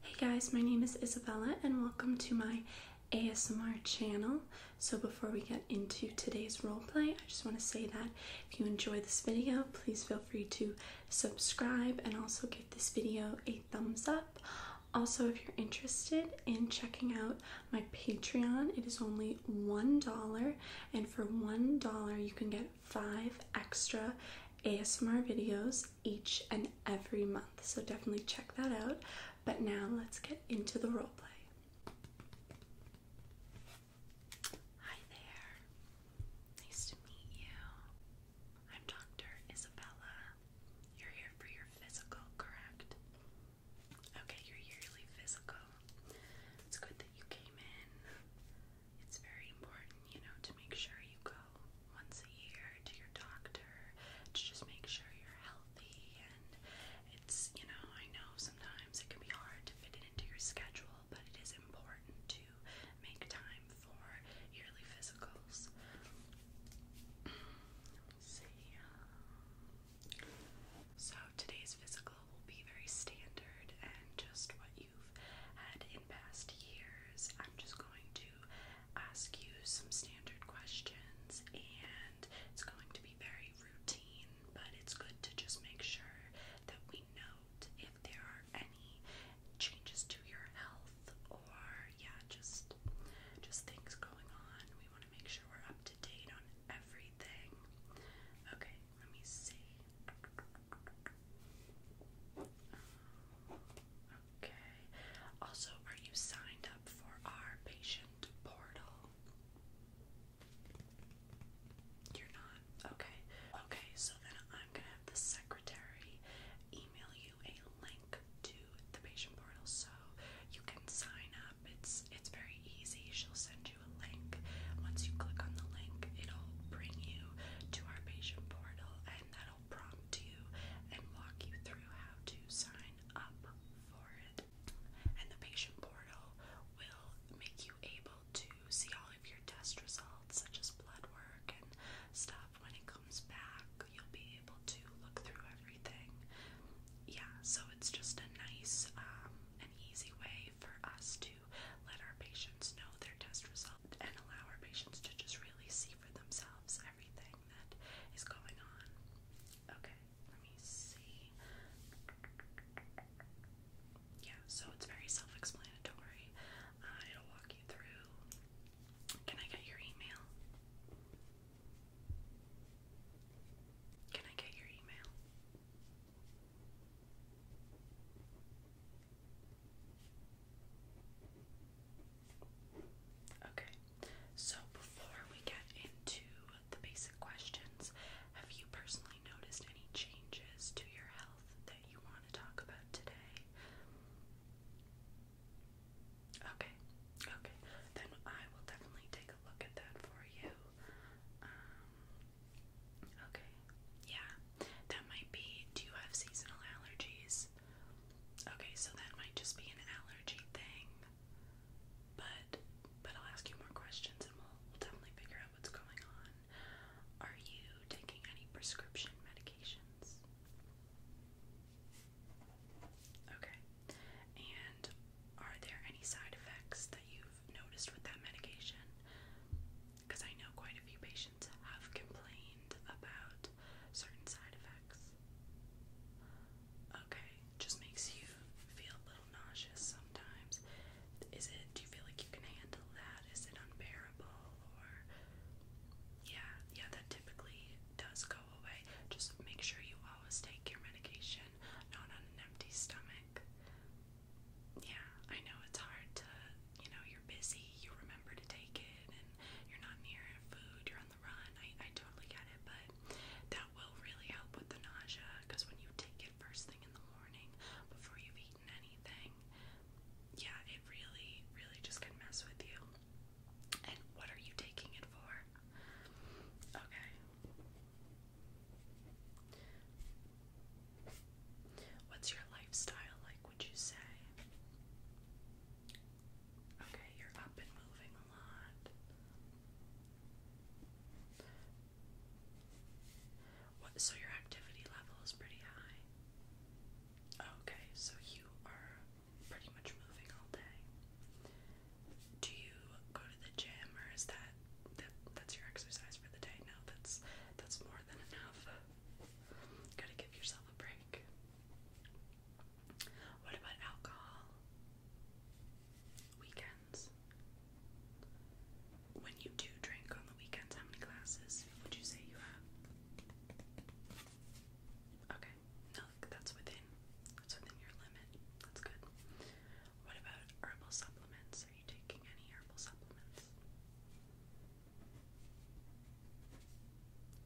Hey guys, my name is Isabella and welcome to my ASMR channel. So before we get into today's roleplay, I just want to say that if you enjoy this video, please feel free to subscribe and also give this video a thumbs up. Also, if you're interested in checking out my Patreon, it is only $1 and for $1 you can get five extra ASMR videos each and every month, so definitely check that out. But now let's get into the roleplay. Hi there. Nice to meet you. I'm Dr. Isabella. You're here for your physical, correct? Okay, your yearly physical. It's good that you came in it's very important, you know, to make sure you go once a year to your doctor to just make sure you're healthy. And it's, you know, I know sometimes it can be hard to fit it into your schedule, but it is important to make time for yearly physicals. Let me see. Um, so today's physical will be very standard and just what you had in past years. I'm just going to ask you some standard questions, and it's going to be very routine, but it's good to just make sure that we note if there are any changes to your health or yeah, just just things going on. We want to make sure we're up to date on everything. Okay, let me see. Okay. Also, are you signed up for our patient portal? You're not? Okay. Okay, so then I'm gonna have the secretary email you a link to the patient portal so you can sign up. It's it's very easy. She'll send you a link. Once you click on the link, it'll bring you to our patient portal that'll prompt you and walk you through how to sign up for it. And the patient portal will make you able to see all of your test results, such as blood work and stuff. When it comes back, you'll be able to look through everything. Yeah, so it's just a nice um, and easy way for us to let our patients know their test results and allow our patients to just really see for themselves everything that is going on. Okay, let me see. Yeah, so it's very self explanatory. Uh, it'll walk you through. Can I get your email? Can I get your email? Okay, so before we get into the basic questions, have you personally noticed any changes to your health that you want to talk about today? Okay, okay, then I will definitely take a look at that for you. Um, Okay. Yeah, that might be. Do you have seasonal allergies? Okay, so that might just be an allergy thing. But but I'll ask you more questions and we'll, definitely figure out what's going on. Are you taking any prescription medications? Okay. And are there any side effects that you've noticed with that medication? Because I know quite a few patients patients have complained about certain side effects. Okay, just makes you feel a little nauseous sometimes. Is it, do you feel like you can handle that? Is it unbearable or, yeah, yeah, that typically does go away. Just make sure you always take your medication, not on an empty stomach yeah, I know it's hard to, you know, you're busy, you remember to take it, and you're not near food, you're on the run. I, I totally get it, but that will really help with the nausea because when you take it first thing in the morning before you've eaten anything, yeah, it really, really just can mess with you. And what are you taking it for? Okay. What's your lifestyle like, would you say? Okay, you're up and moving a lot. so your activity level is pretty high. Okay, so you are pretty much moving all day. Do you go to the gym or is that that, that's your exercise for the day. Now that's that's more than enough. Gotta give yourself a break. What about alcohol? Weekends. When you do drink on the weekends, how many glasses would you say you have? Okay, no, that's within that's within your limit. That's good. What about herbal supplements? Are you taking any herbal supplements?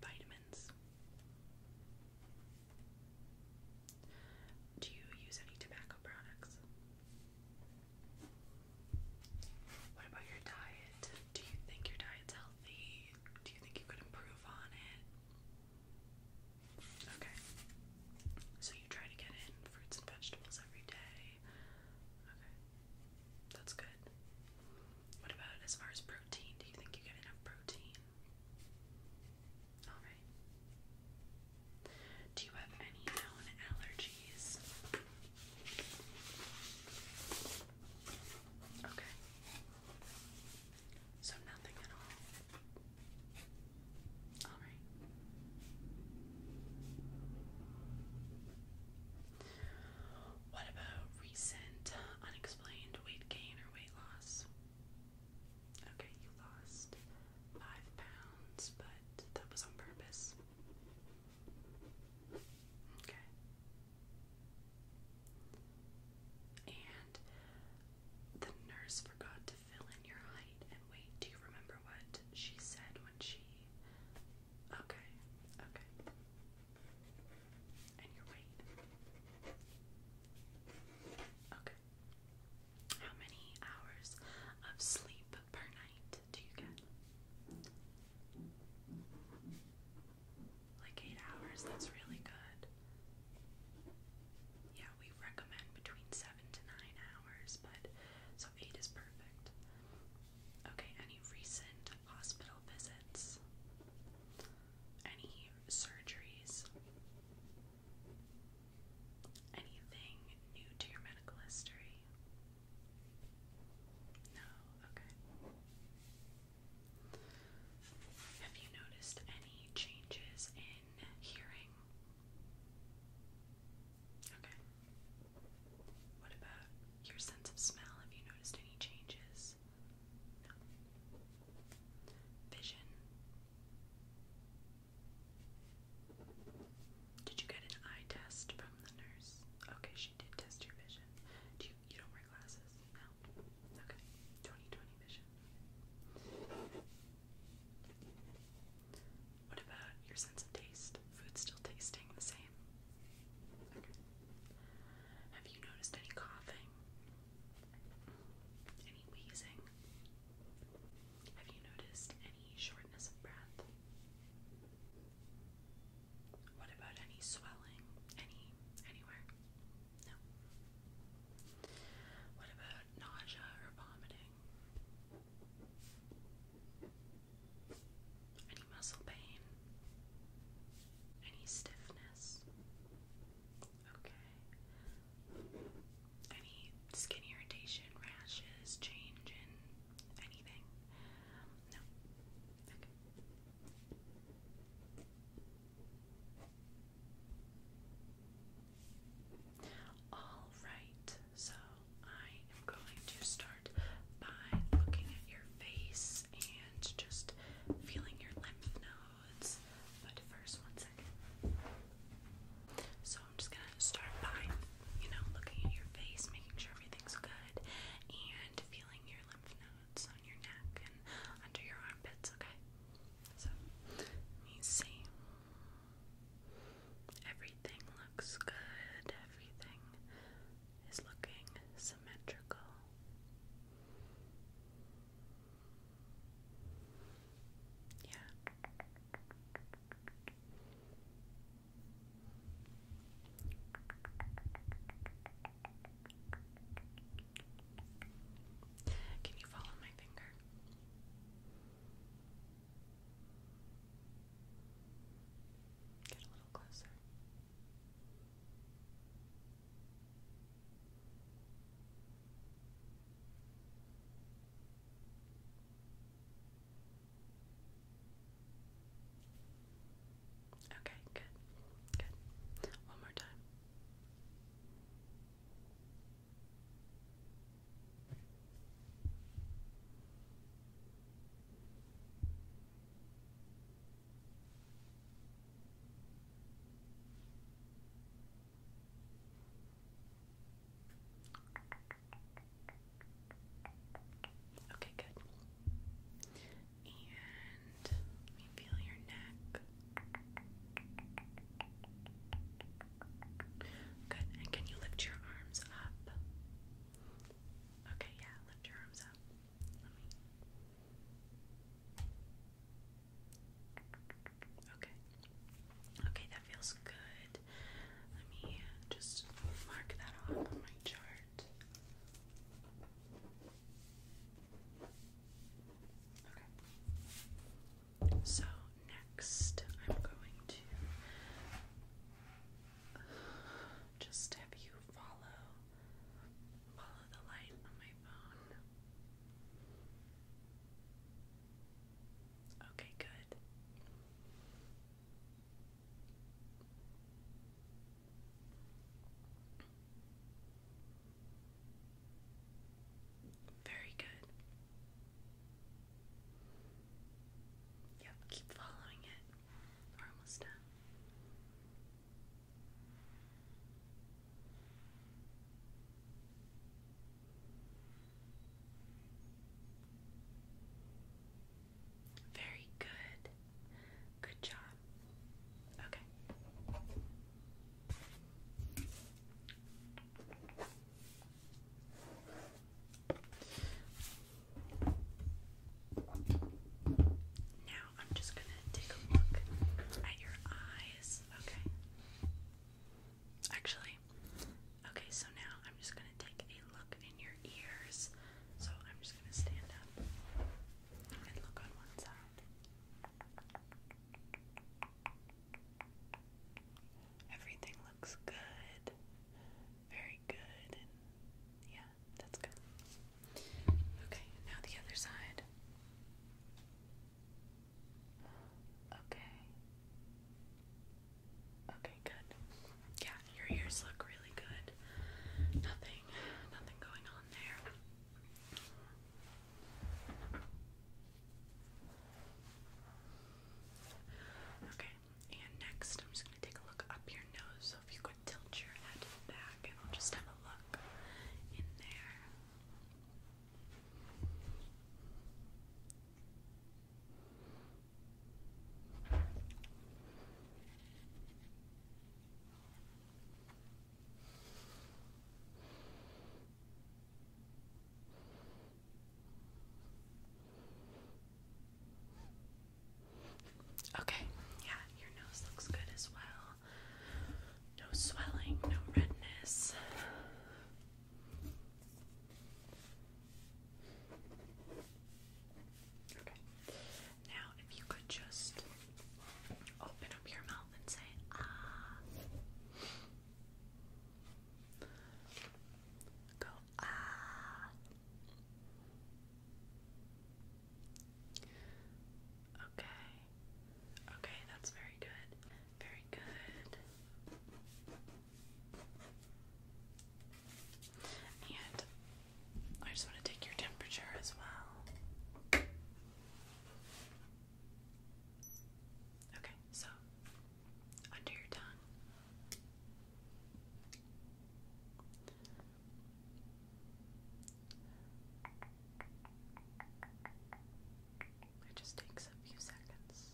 Vitamins? Do you use any tobacco products? What about your diet? Do you think your diet's healthy? Do you think you could improve on it? Okay. So you try to get in fruits and vegetables every day. Okay. That's good. What about as far as protein? Do you think you get enough protein? Alright. Do you have any known allergies? Okay. So nothing at all. All right. What about recent unexplained weight gain or weight loss? Okay, you lost five pounds, but that was on purpose. Okay. And the nurse forgot to fill in your height and weight. Do you remember what she said when she. Okay, okay. And your weight. Okay. How many hours of sleep per night do you get? Like eight hours, that's really good yeah, we recommend between seven to nine hours, but so eight is perfect. Okay, any recent hospital visits? Any surgeries? Anything new to your medical history? No, okay. Have you noticed any changes in hearing? Okay. What about your sense of smell? Have you noticed any changes? Vision. Did you get an eye test from the nurse? Okay, she did test your vision. Do you you don't wear glasses? No. Okay. 20 vision. What about your sense of taste? Food still tasting the same? Have you noticed any coughing? Any wheezing? Have you noticed any shortness of breath? What about any swelling? Any anywhere? No. What about nausea or vomiting? Any muscle pain? Any stiffness? Okay. Any skin irritation, rashes, change in anything? No. Okay. Alright, so I am going to start by looking at your face and just feeling your lymph nodes. But first, one second. So I'm just gonna start by, you know, looking at your face, making sure everything's good, and feeling your lymph nodes on your neck and under your armpits, okay? So, let me see. Okay. Everything looks good. Everything is looking symmetrical. Yeah. Can you follow my finger? Get a little closer. Okay, good. Good. One more time. Okay, good. And let feel your neck. Good. And can you lift your arms up? Okay, yeah, lift your arms up. Okay. Okay, that feels good. Let me just mark that off on my chart. Okay. So next, I'm going to just have you follow follow the light on my phone. Okay, good. Very good. Yep, keep following it. almost done. Very good. Good job. Okay. Now I'm just going to take a look at your eyes. Okay. Actually, okay, so now I'm just going to take a look in your ears. So I'm just going to stand up and look on one side. Everything looks good. Very good. yeah, that's good. Okay, now the other side. Okay. Okay, good. Yeah, your ears look really good. Nothing, nothing going on there. Okay, and next I'm just going to take a look up your nose. So if you could tilt your head back and I'll just have a look in there. Okay, yeah, your nose looks good as well. No swelling, no redness. Okay, now if you could just open up your mouth and say ah. Go ah. Okay. Okay, that's very good. Very good. And I just want to take your temperature as well. Okay, so under your tongue. It just takes a few seconds.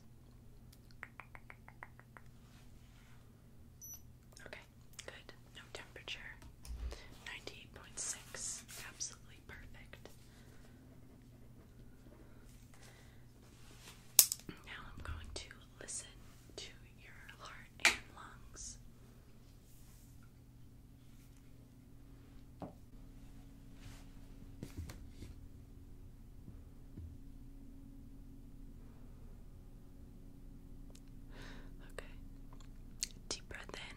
Okay, good no temperature. 98.6, absolutely perfect. Now I'm going to listen to your heart and lungs. Okay. Deep breath in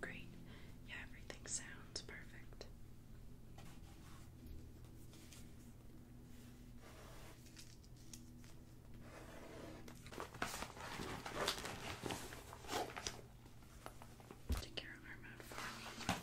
Great. Yeah, everything sounds perfect. Take your arm out for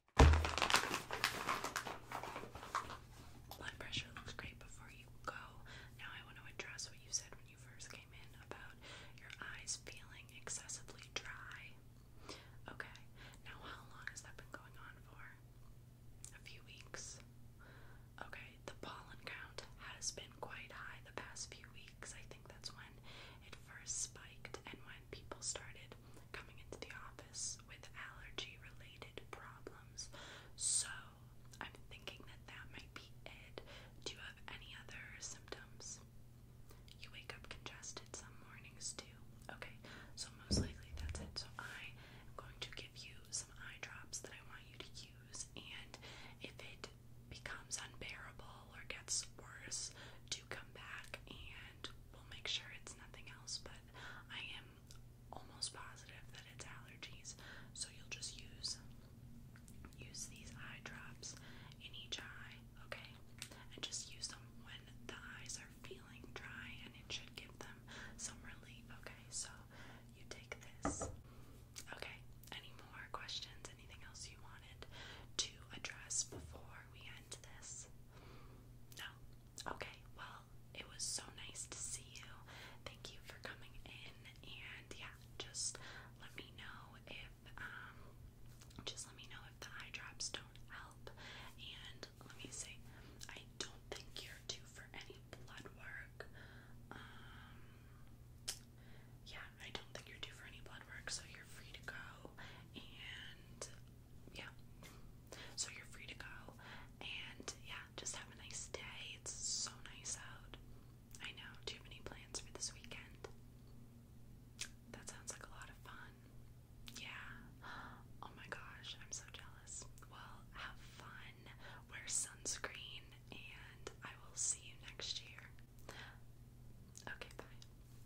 Blood pressure looks great before you go. Now I want to address what you said when you first came in about your eyes feeling excessively dry. Okay. Now how long has that been going on for? A few weeks. Okay, the pollen count has been quite high the past few weeks. I think that's when it first spiked and when people started coming into the office with allergy related problems. So I'm thinking that that might be it. Do you have any other symptoms? You wake up congested some mornings too. Okay, so most likely that's it. So I am going to give you some eye drops that I want you to use, and if it becomes unbearable or gets worse, do come back and we'll make sure it's nothing else, but I am almost positive that it's allergies. So you'll just use use these eye drops in each eye, okay? And just use them when the eyes are feeling dry and it should give them some relief. Okay, so you take this. Okay, any more questions? Anything else you wanted to address before we end? No. Okay, well, it was so nice to see you. Thank you for coming in, and yeah, just let me know if, um, just let me know if the eye drops don't help. And let me see, I don't think you're due for any blood work. Um, yeah, I don't think you're due for any blood work, so you're free to go. And yeah. So you're free to go. And yeah, just have a nice day. It's so nice out. I know. Do you have any plans for this weekend? That sounds like a lot of fun. Yeah. Oh my gosh, I'm so jealous. Well, have fun. Wear sunscreen, and I will see you next year. Okay, bye.